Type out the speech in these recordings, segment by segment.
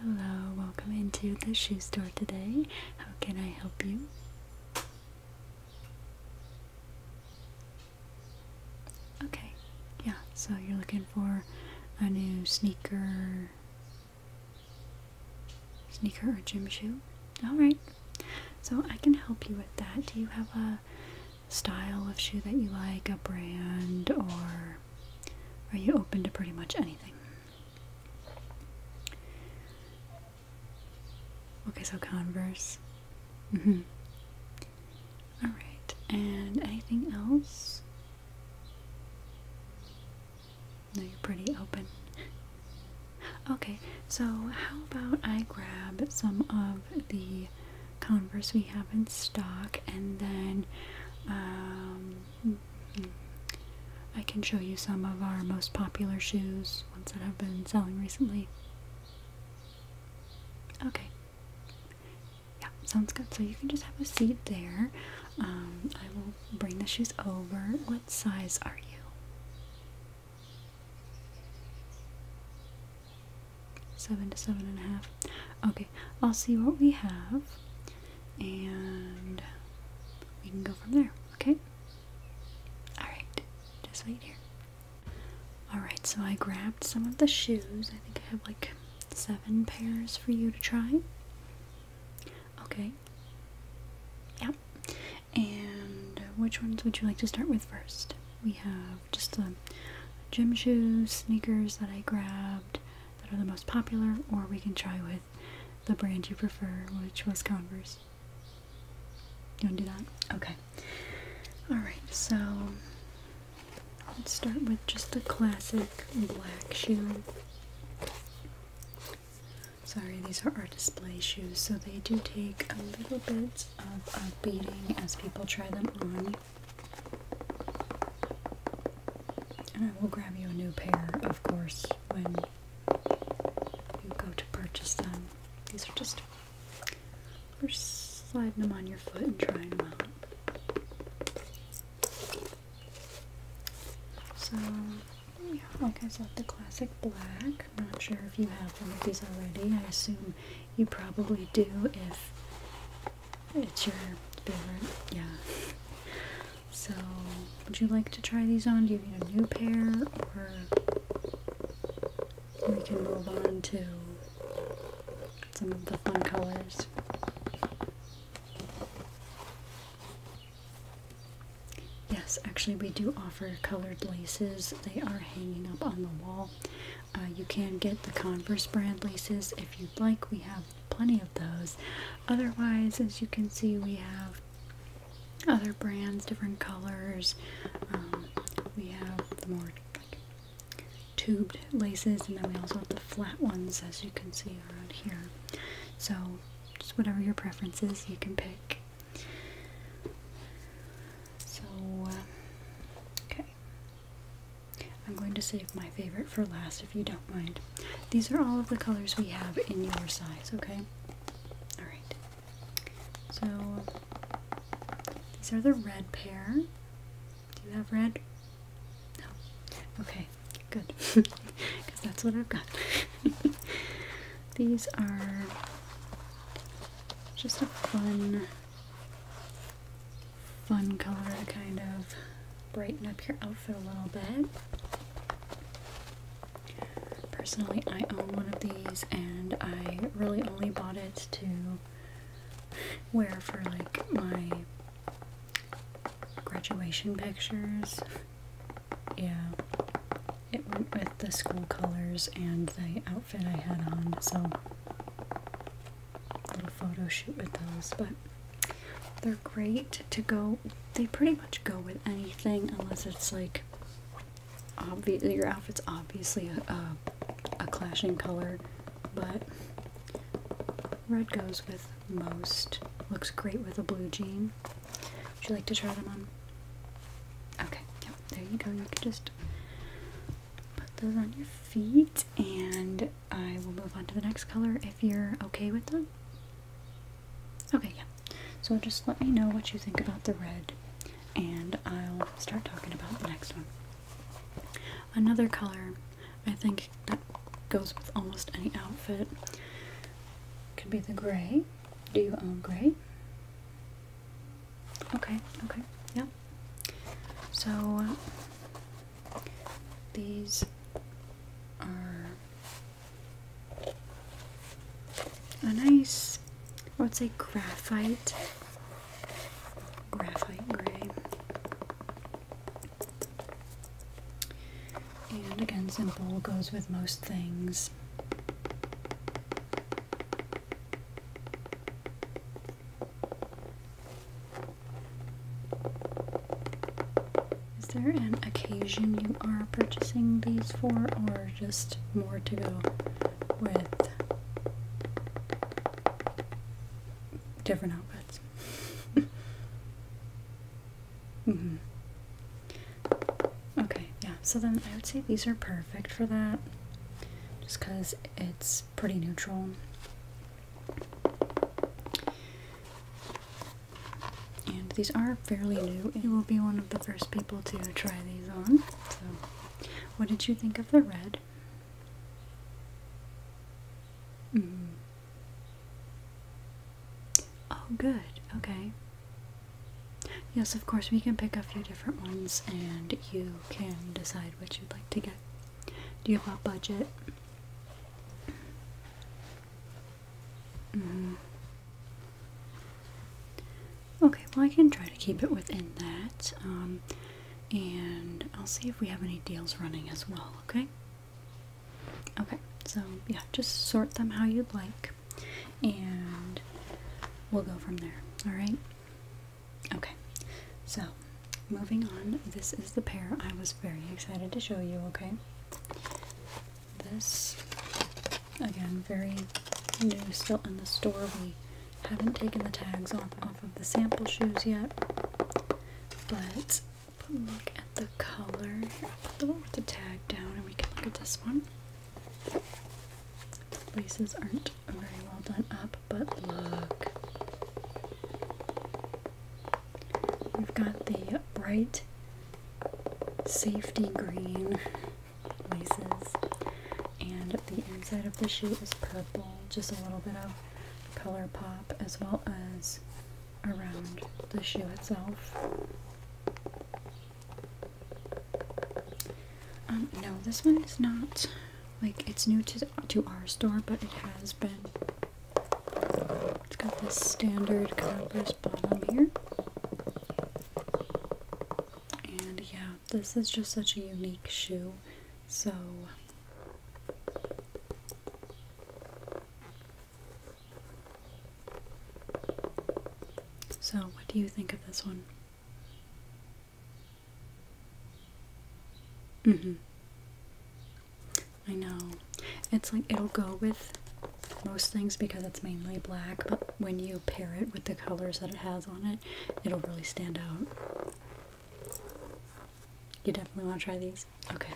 Hello, welcome into the shoe store today. How can I help you? Okay, yeah, so you're looking for a new sneaker, sneaker or gym shoe? Alright, so I can help you with that. Do you have a style of shoe that you like, a brand, or are you open to pretty much anything? Okay, so Converse. Mm hmm. Alright, and anything else? No, you're pretty open. Okay, so how about I grab some of the Converse we have in stock and then um, I can show you some of our most popular shoes, ones that have been selling recently. Okay. Yeah, sounds good. So you can just have a seat there. Um, I will bring the shoes over. What size are you? Seven to seven and a half. Okay. I'll see what we have and we can go from there, okay? Alright, just wait here. Alright, so I grabbed some of the shoes. I think I have like seven pairs for you to try. Okay. Yeah. And which ones would you like to start with first? We have just the gym shoes, sneakers that I grabbed, that are the most popular, or we can try with the brand you prefer, which was Converse. You want to do that? Okay. Alright, so let's start with just the classic black shoe. Sorry, these are our display shoes, so they do take a little bit of a beating as people try them on. And I will grab you a new pair, of course, when you go to purchase them. These are just we're sliding them on your foot and trying them out. So, yeah, like I said, the classic black. Not sure if you have one of these already. I assume you probably do if it's your favorite, yeah. So, would you like to try these on? Do you need a new pair, or we can move on to some of the fun colors? Yes, actually, we do offer colored laces. They are hanging up on the wall. Uh, you can get the Converse brand laces if you'd like. We have plenty of those. Otherwise, as you can see, we have other brands, different colors. Um, we have the more tubed laces, and then we also have the flat ones, as you can see around here. So, just whatever your preferences, you can pick. So, uh, okay. I'm going to save my favorite for last if you don't mind. These are all of the colors we have in your size, okay? Alright. So, these are the red pair. Do you have red? No. Okay, good. Because that's what I've got. these are just a fun fun color to kind of brighten up your outfit a little bit. Personally, I own one of these and I really only bought it to wear for like my graduation pictures. Yeah, it went with the school colors and the outfit I had on, so little photo shoot with those, but they're great to go. They pretty much go with anything unless it's like obvious. Your outfit's obviously a, a, a clashing color, but red goes with most. Looks great with a blue jean. Would you like to try them on? Okay, yep, there you go. You can just put those on your feet and I will move on to the next color if you're okay with them. Okay, yeah. So just let me know what you think about the red and I'll start talking about the next one. Another color I think that goes with almost any outfit could be the gray. Do you own gray? Okay, okay, yeah. So these are a nice, I would say graphite, graphite gray. And again, simple goes with most things. Is there an occasion you are purchasing these for, or just more to go with different outfits? -hmm. Okay, yeah, so then I would say these are perfect for that. Just because it's pretty neutral. And these are fairly new. You will be one of the first people to try these on. So, what did you think of the red? Mm-hmm. Oh, good. Okay. Yes, of course, we can pick a few different ones and you can decide what you'd like to get. Do you have a budget? Mm-hmm. Okay, well, I can try to keep it within that. Um, and I'll see if we have any deals running as well, okay? Okay, so yeah, just sort them how you'd like, and we'll go from there, alright? Okay, so moving on, this is the pair I was very excited to show you, okay? This, again, very new, still in the store. We haven't taken the tags off, off of the sample shoes yet, but look at the color. i put the one with the tag down and we can look at this one. The Laces aren't very well done up, but look. We've got the bright safety green laces, and the inside of the shoe is purple, just a little bit of color pop as well as around the shoe itself. Um, no, this one is not, like, it's new to, to our store, but it has been, it's got this standard calabrese bottom here, and yeah, this is just such a unique shoe, so, so what do you think of this one? Mm-hmm. I know. It's like it'll go with most things because it's mainly black, but when you pair it with the colors that it has on it, it'll really stand out. You definitely want to try these? Okay.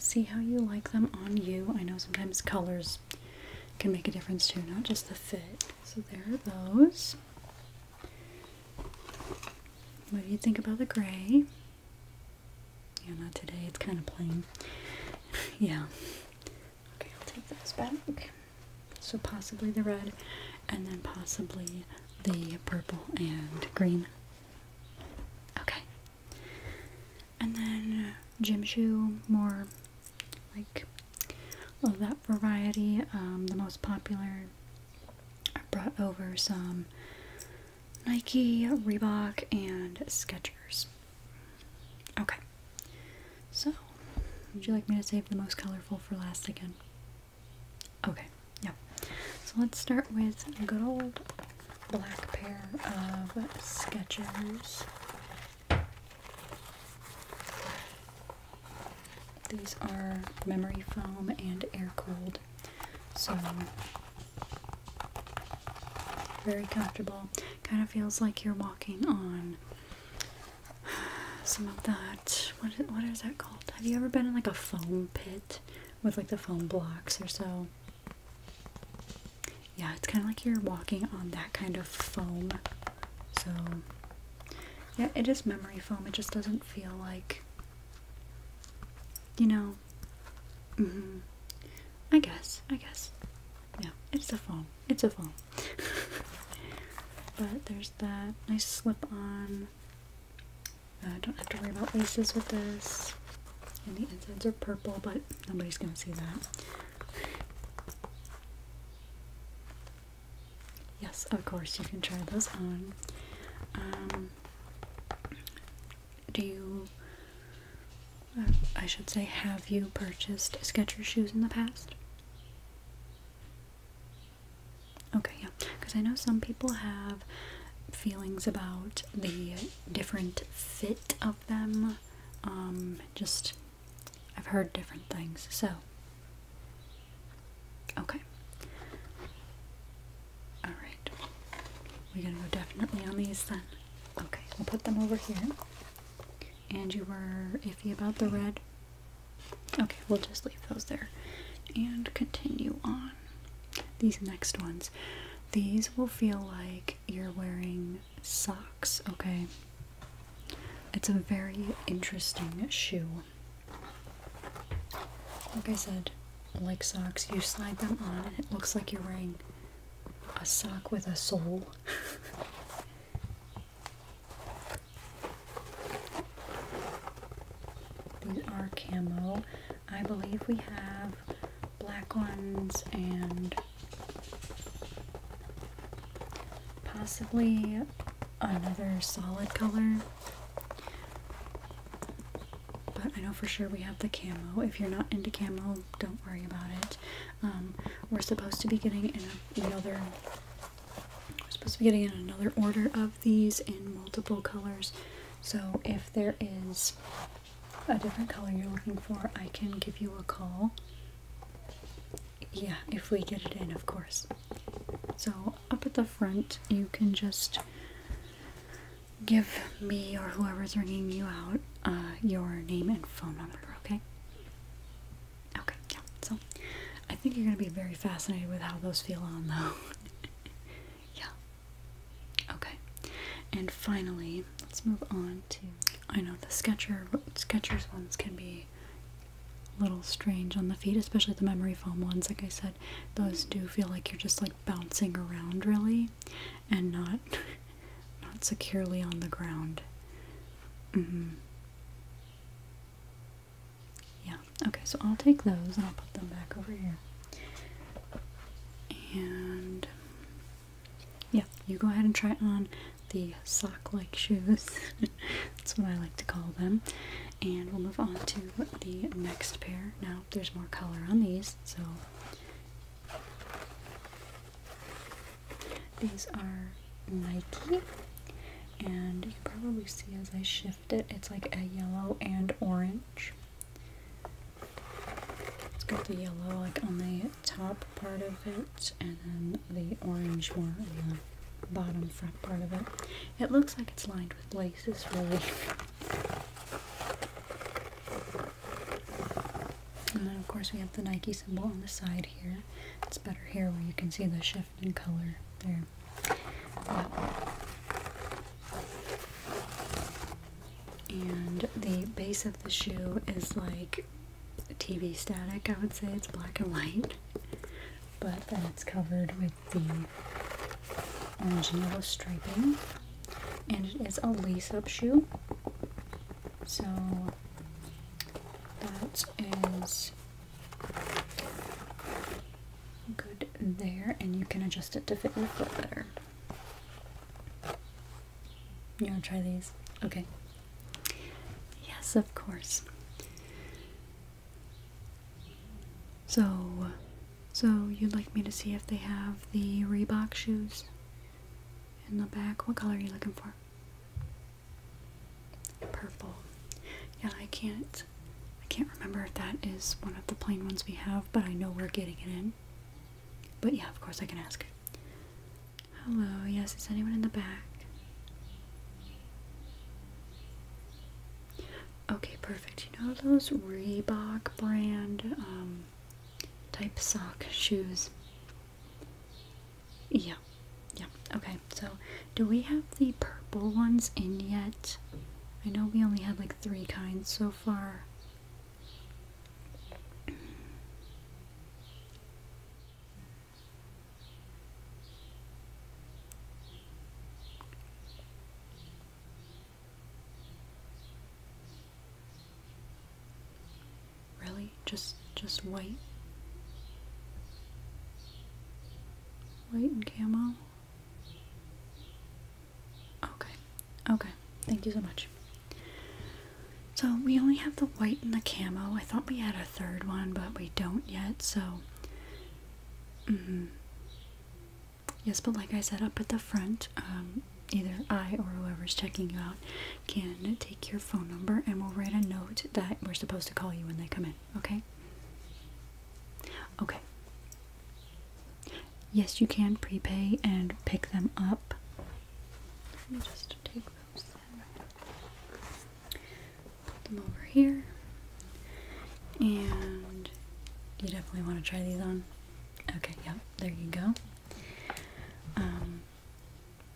see how you like them on you. I know sometimes colors can make a difference too, not just the fit. So there are those. What do you think about the gray? Yeah, not today. It's kind of plain. yeah. Okay, I'll take those back. So possibly the red, and then possibly the purple and green. Okay. And then gym shoe, more like of that variety. Um, the most popular, I brought over some Nike, Reebok, and Skechers. Okay, so would you like me to save the most colorful for last again? Okay, yeah. So let's start with a good old black pair of Skechers. These are memory foam and air cooled, so very comfortable. Kind of feels like you're walking on some of that. What is, what is that called? Have you ever been in like a foam pit with like the foam blocks or so? yeah, it's kind of like you're walking on that kind of foam. So, yeah, it is memory foam. It just doesn't feel like, you know, mm-hmm. I guess, I guess. Yeah, it's a foam. It's a foam. but there's that nice slip on. I don't have to worry about laces with this. And the insides are purple, but nobody's gonna see that. Yes, of course you can try those on. Um, do you, uh, I should say, have you purchased Skechers shoes in the past? Okay, yeah, because I know some people have feelings about the different fit of them um, just, I've heard different things. So, okay. Alright. We're gonna go definitely on these then. Okay, we'll put them over here. And you were iffy about the red. Okay, we'll just leave those there. And continue on. These next ones. These will feel like you're wearing socks, okay? It's a very interesting shoe. Like I said, like socks, you slide them on and it looks like you're wearing a sock with a sole. These are camo. I believe we have black ones and possibly another solid color. But I know for sure we have the camo. If you're not into camo, don't worry about it. Um, we're supposed to be getting another we're supposed to be getting in another order of these in multiple colors. So if there is a different color you're looking for, I can give you a call. Yeah, if we get it in, of course. So, up at the front, you can just give me or whoever's ringing you out uh, your name and phone number, okay? Okay, yeah. So, I think you're going to be very fascinated with how those feel on, though. yeah. Okay, and finally, let's move on to. I know the Sketcher Sketchers ones can be a little strange on the feet, especially the memory foam ones. Like I said, those do feel like you're just like bouncing around really, and not not securely on the ground. Mm -hmm. Yeah. Okay, so I'll take those and I'll put them back over here. And yeah, you go ahead and try on the sock like shoes. That's what I like to call them. And we'll move on to the next pair. Now, there's more color on these, so these are Nike. And you can probably see as I shift it, it's like a yellow and orange. It's got the yellow like on the top part of it and then the orange more on the bottom front part of it. It looks like it's lined with laces really. And then of course we have the Nike symbol on the side here. It's better here where you can see the shift in color there and the base of the shoe is like TV static, I would say. It's black and white, but then it's covered with the orange and yellow striping, and it is a lace up shoe. So that is good there, and you can adjust it to fit your foot better. You want to try these? Okay. Yes, of course. So, so you'd like me to see if they have the Reebok shoes in the back? What color are you looking for? Purple. Yeah, I can't. I can't remember if that is one of the plain ones we have, but I know we're getting it in but yeah, of course I can ask. Hello, yes, is anyone in the back? Okay, perfect. You know those Reebok brand um, type sock shoes? Yeah, yeah. Okay, so do we have the purple ones in yet? I know we only have like three kinds so far. Really? Just just white? White and camo? Okay, okay, thank you so much. So we only have the white and the camo. I thought we had a third one, but we don't yet, so. hmm. Yes, but like I said up at the front, um, either I or whoever is checking you out can take your phone number and we'll write a note that we're supposed to call you when they come in, okay? Okay. Yes, you can prepay and pick them up. Let me just take those Put them over here. And you definitely want to try these on. Okay, yep, there you go. Um,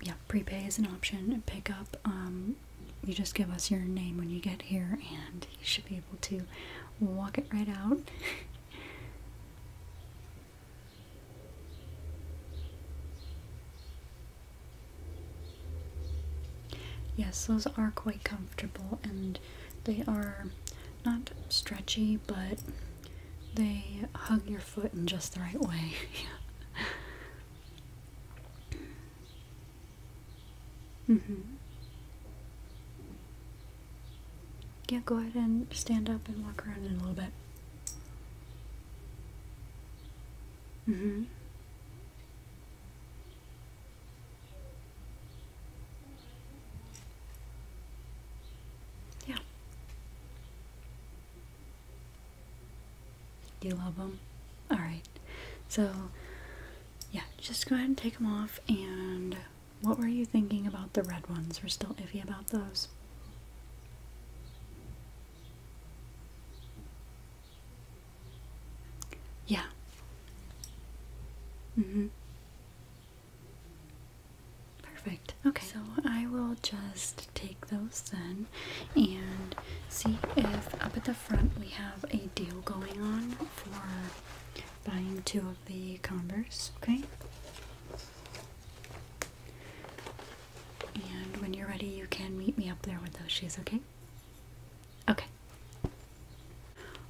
yeah, prepay is an option. Pick up, um, you just give us your name when you get here, and you should be able to walk it right out. yes, those are quite comfortable and they are not stretchy, but they hug your foot in just the right way. Mm-hmm. Yeah, go ahead and stand up and walk around in a little bit. Mm-hmm. Yeah. you love them? All right. So yeah, just go ahead and take them off. And what were you thinking about the red ones? We're still iffy about those. Yeah. Mm-hmm. Perfect. Okay. So I will just take those then and see if up at the front we have a deal going on for buying two of the Converse, okay? And when you're ready, you can meet me up there with those shoes, okay? Okay.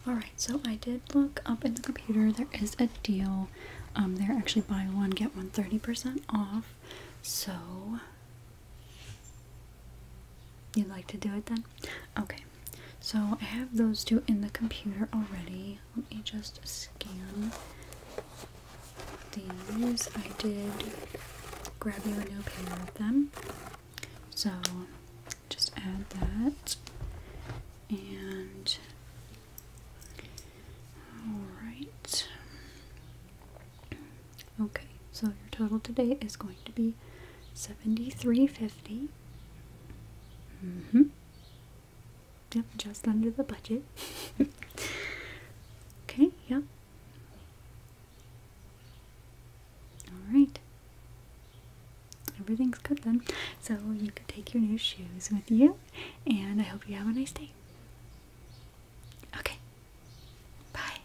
Alright, so I did look up in the computer. There is a deal. Um, they're actually buy one, get one 30% off. So You'd like to do it then? Okay. So I have those two in the computer already. Let me just scan these. I did grab you a new pair of them. So just add that. And alright. Okay, so your total today is going to be $73.50. Mm hmm. Yep, just under the budget. okay, yep. Alright. Everything's good then. So you can take your new shoes with you, and I hope you have a nice day. Okay. Bye.